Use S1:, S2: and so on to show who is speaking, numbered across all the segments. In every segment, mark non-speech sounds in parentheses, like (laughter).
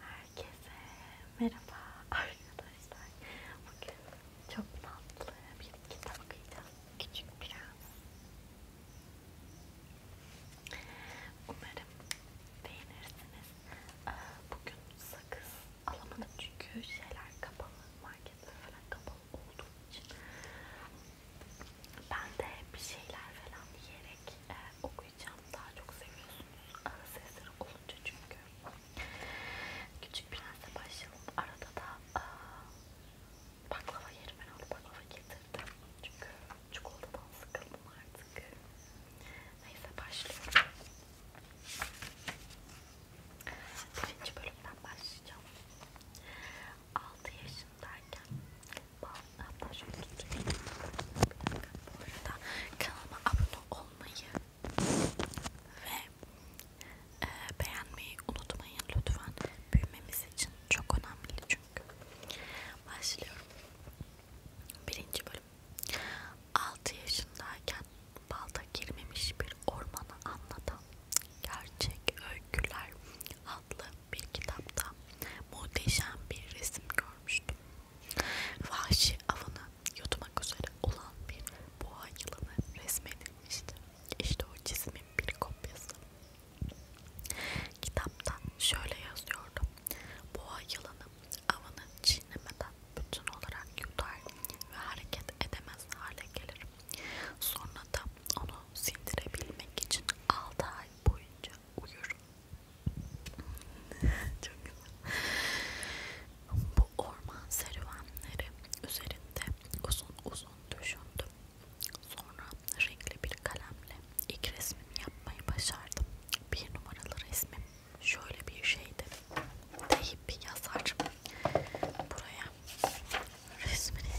S1: Herkese merhaba arkadaşlar. Bugün çok tatlı bir kitap okuyacağız. Küçük biraz. Umarım beğenirsiniz. Ee, bugün sakız alamadım çünkü şeyler kapalı, marketler falan kapalı olduğu için ben de bir şeyler falan yiyerek e, okuyacağım. Daha çok seviyorsunuz ağız sesleri olunca çünkü. Küçük Prens'e başlayalım. Arada da e, baklava yerim ben onu baklava getirdim. Çünkü çikolatadan sıkıldım artık. Neyse başlıyorum. Birinci bölümden başlayacağım. 6 yaşındayken hatta şöyle tutayım. Bu arada kanalıma abone olmayı ve e, beğenmeyi unutmayın lütfen. Büyümemiz için çok önemli çünkü. Başlıyorum. Birinci bölüm. 6 yaşındayken balda girmemiş bir ormanı anlatan gerçek öyküler adlı bir kitapta muhteşem bir resim görmüştüm. Vahşi avını yutmak üzere olan bir boğa yılanı resmedilmişti. İşte o çizimin bir kopyası. Kitapta şöyle yazıyordu. Boğa yılanı avını çiğnemeden bütün olarak yutar ve hareket edemez hale gelir. Sonra da onu sindirebilmek için 6 ay ay boyunca uyur. (laughs) Çok güzel. Bu orman serüvenleri üzerinde uzun uzun düşündüm. Sonra renkli bir kalemle ilk resmimi yapmayı başardım. Bir numaralı resmim şöyle bir şeydi. Deyip yazar. Buraya resmini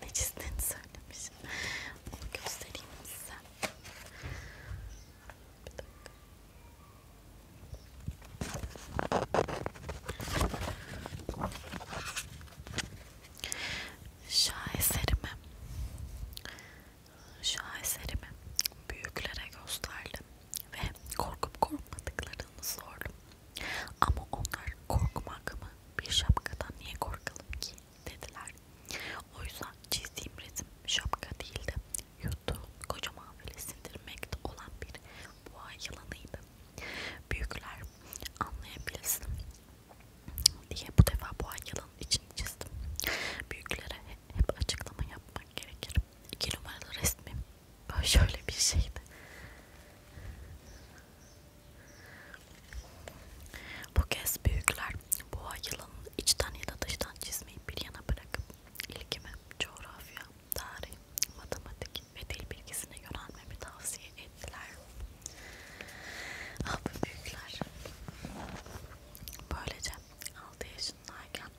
S1: ne çizdiğini söylemiş. Onu göstereyim size. Bir dakika. Şaheserimi, şaheserimi büyüklere gösterdim ve korkup korkmadıklarını sordum. Ama onlar korkmak mı bir şapkadan niye korkalım ki dediler. O yüzden çizdiğim resim şapka değildi. Yuttuğum kocaman ve sindirmekte olan bir boğa yılanıydı. Büyükler anlayabilsin diye bu defa boğa yılanın için çizdim. Büyüklere hep açıklama yapmak gerekir. İki numaralı resmim böyle şöyle bir şeydi. Bu kez büyükler boğa yılanın içten ya da dıştan çizmeyi bir yana bırakıp ilgimi coğrafya, tarih, matematik ve dil bilgisine yönelmemi tavsiye ettiler. Ah bu büyükler. Böylece 6 yaşındayken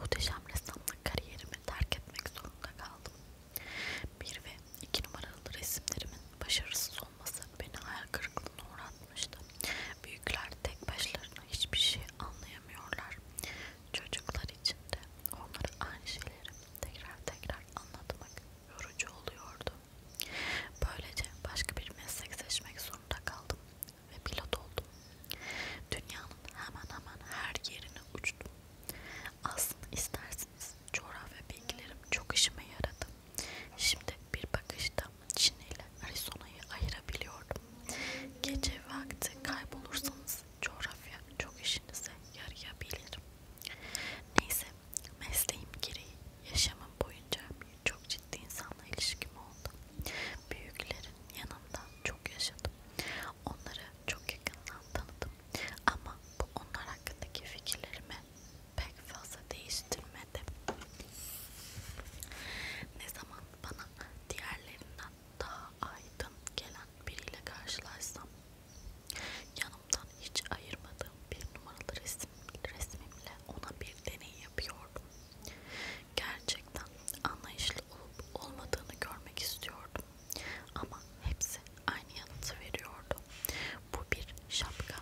S1: muhteşem ressamlık kariyerimi terk etmek zorunda kaldım. Bir ve iki numaralı resimlerimin başarısız olması beni hayal kırıklığına uğratmıştı. Büyükler tek başlarına hiçbir şey anlayamıyorlar. Çocuklar için de onlara aynı şeyleri tekrar tekrar anlatmak yorucu oluyordu. Böylece başka bir meslek seçmek zorunda kaldım ve pilot oldum. Dünyanın hemen hemen her yerine uçtum. Aslında istersen bilemezsiniz. Coğrafya bilgilerim çok işime yaradı. Şimdi bir bakışta Çin ile Arizona'yı ayırabiliyordum. Gece vakti kaybolursanız coğrafya çok işinize yarayabilir. Neyse mesleğim gereği yaşamım boyunca çok ciddi insanla ilişkim oldu. Büyüklerin yanında çok yaşadım. Onları çok yakından tanıdım. Ama bu onlar hakkındaki fikirlerimi pek fazla değiştirmedi. Ne zaman bana diğerlerinden daha aydın gelen biriyle karşılaşsam yanımdan hiç ayırmadığım bir numaralı resim, resmimle ona bir deney yapıyordum. Gerçekten anlayışlı olup olmadığını görmek istiyordum. Ama hepsi aynı yanıtı veriyordu. Bu bir şapka.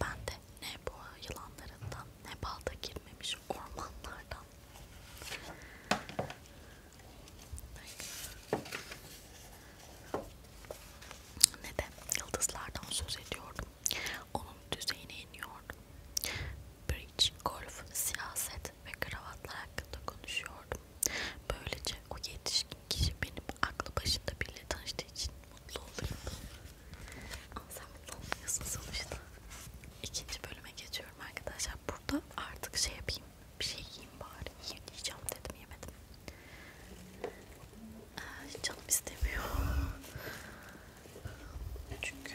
S1: Ben de ne boğa yılanlarından ne balda girmemiş ormanlardan. Ne de yıldızlardan söz ediyordum. Onun düzeyine iniyordum. Bridge, golf, siyaset, ceset ve kravatlar hakkında konuşuyordum. Böylece o yetişkin kişi benim aklı başında biriyle tanıştığı için mutlu olurdu. Ama sen mutlu olmuyorsun sonuçta. İkinci bölüme geçiyorum arkadaşlar. Burada artık şey yapayım, bir şey yiyeyim bari. Yiyeyim diyeceğim dedim, yemedim. Ee, canım istemiyor. Çünkü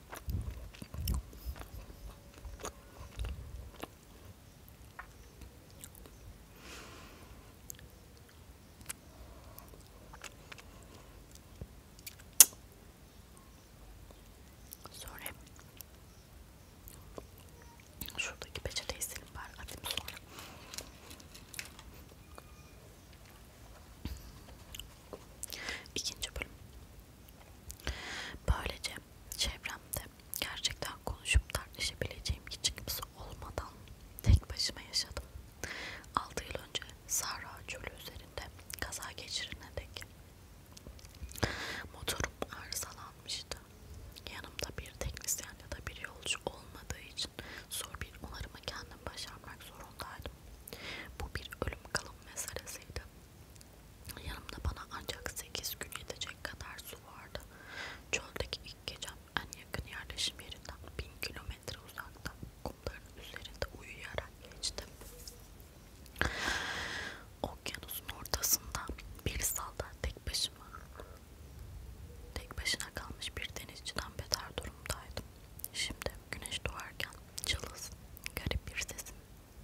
S1: Sonra şuradaki peçeteyi silin bari atayım sonra. İkinci bölüm. Böylece çevremde gerçekten konuşup tartışabileceğim hiç kimse olmadan tek başıma yaşadım. 6 yıl önce Sahra Çölü üzerinde kaza geçirene dek motorum arızalanmıştı. Yanımda bir teknisyen ya da bir yolcu olmadığı için zor bir onarımı kendim başarmak zorundaydım. Bu bir ölüm kalım meselesiydi Yanımda bana ancak 8 gün yetecek kadar su vardı. Çöldeki ilk gecem en yakın yerleşim yerinden 1000 kilometre uzakta kumların üzerinde uyuyarak geçtim. Okyanusun ortasında bir salda tek başıma tek başına kalmış bir denizciden beter durumdaydım. Şimdi güneş doğarken cılız, garip bir sesin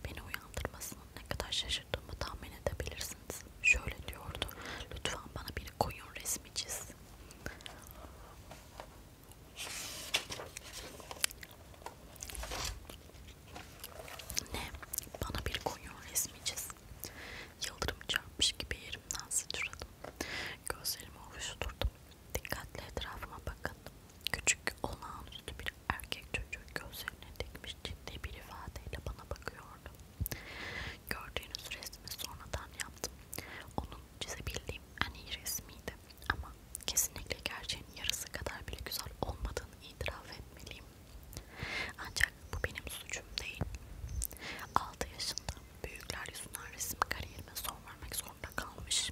S1: Beni uyandırmasının ne kadar şaşırdığımı tahmin edebilirsiniz. Şöyle diyordu, lütfen bana bir koyun resmi çiz. Ne? Bana bir koyun resmi çiz. Yıldırım çarpmış gibi yerimden sıçradım. Gözlerimi ovuşturdum. Dikkatli etrafıma bakın. Küçük olağanüstü bir erkek çocuğu gözlerine dikmiş ciddi bir ifadeyle bana bakıyordu. Gördüğünüz resmi sonradan yaptım. Onun çizebildiğim en iyi resmiydi. Ama kesinlikle gerçeğin yarısı kadar bile güzel olmadığını itiraf etmeliyim. Ancak bu benim suçum değil. 6 yaşında büyükler yüzünden resim kariyerime son vermek zorunda kalmış.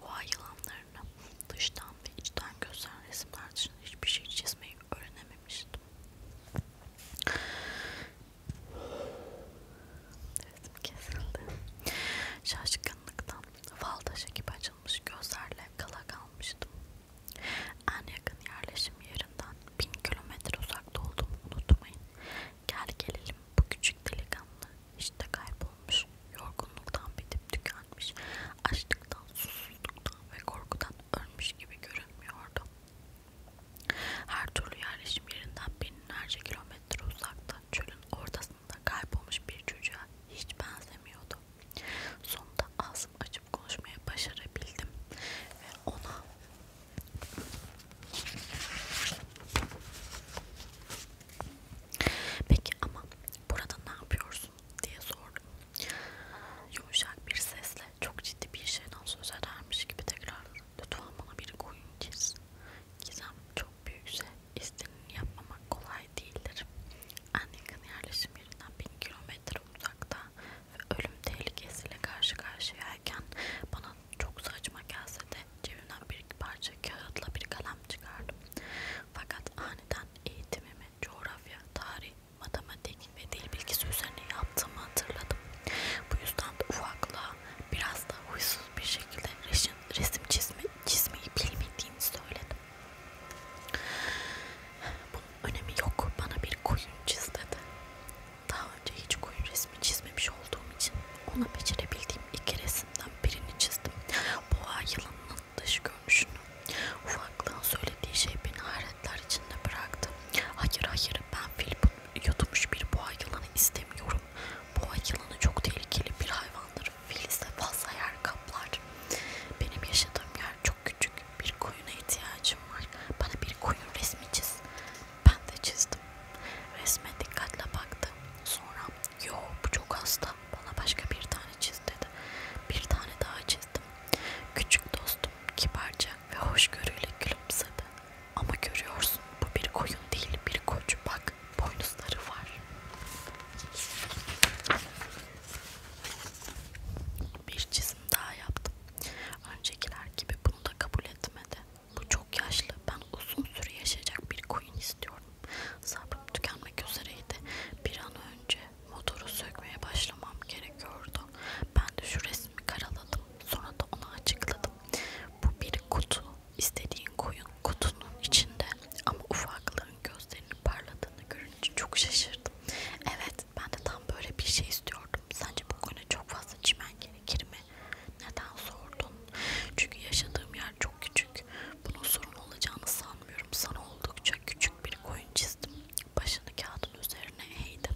S1: Boğa yılanlarını dıştan ve içten gösteren resimler dışında hiçbir şey çizmeyi öğrenememiştim. Resim kesildi. Şaşkınlıktan fal taşı gibi açılmış gözlerle kala kalmıştım. En yakın yerleşim yerinden bin kilometre uzakta olduğumu unutmayın. Gel gelelim bu küçük delikanlı işte kaybolmuş, yorgunluktan bitip tükenmiş, açlıktan, susuzluktan ve korkudan ölmüş gibi görünmüyordu. Her türlü yerleşim yerinden binlerce kilometre uzakta çölün ortasında kaybolmuş bir çocuğa hiç benzemiyordu. Sonunda ağzım açıp konuşmaya başarabildim ve ona Peki ama burada ne yapıyorsun diye sordum. Yumuşak bir sesle çok ciddi bir şeyden söz edermiş gibi tekrarladı. Lütfen bana bir koyun çiz. Gizem çok büyükse istediğini yapmamak kolay değildir. En yakın yerleşim yerinden bin kilometre uzakta ve ölüm tehlikesiyle karşı karşıyayken bana çok saçma gelse de cebimden bir parça kağıtla bir kalem çıkardım. Fakat aniden eğitimimi coğrafya, tarih, matematik ve dil bilgisi üzerine yaptığımı hatırladım. Bu yüzden de ufaklığa biraz da huysuz bir şekilde resim, resim çizme, çizmeyi bilmediğimi söyledim. Bunun önemi yok. Bana bir koyun çiz dedi. Daha önce hiç koyun resmi çizmemiş olduğum için ona becerebildiğim iki resimden birini çizdim. Boğa yılanının dış görünüşünü. Ufaklığın söylediği şey beni hayretler içinde bıraktı. Hayır hayır ben fil yutmuş bir boğa yılanı istemiyorum. Boğa yılanı çok tehlikeli bir hayvandır. Fil ise fazla yer kaplar. Benim yaşadığım yer çok küçük. Bir koyuna ihtiyacım var. Bana bir koyun resmi çiz. Ben de çizdim anlamadım. Resme dikkatle baktı. Sonra yo bu çok hasta bana başka bir tane çiz dedi. Bir tane daha çizdim. Küçük dostum kibarca ve hoşgörüyle gülümsedi. Ama görüyorsun bu bir koyun değil bir koçu bak boynuzları var. Bir çizim daha yaptım. Öncekiler gibi bunu da kabul etmedi. Bu çok yaşlı. Ben uzun süre yaşayacak bir koyun istiyorum. Sabrım tükenmek üzereydi. Bir an önce motoru sökmeye başlamam gerekiyordu. Ben de şu resmi karaladım. Sonra da ona açıkladım. Bu bir kutu. İstediğin koyun kutunun içinde. Ama ufaklığın gözlerinin parladığını görünce çok şaşırdım. Evet ben de tam böyle bir şey istiyordum. Sence bu koyuna çok fazla çimen gerekir mi? Neden sordun? Çünkü yaşadığım yer çok küçük. Bunun sorun olacağını sanmıyorum. Sana oldukça küçük bir koyun çizdim. Başını kağıdın üzerine eğdi.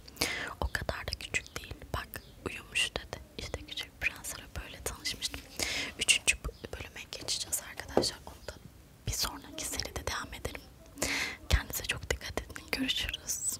S1: O kadar da küçük değil. Bak uyumuş dedi. İşte küçük prensle böyle tanışmıştım. Üçüncü bölüme geçeceğiz arkadaşlar. Onu da bir sonraki seride devam edelim. Kendinize çok dikkat edin. Görüşürüz.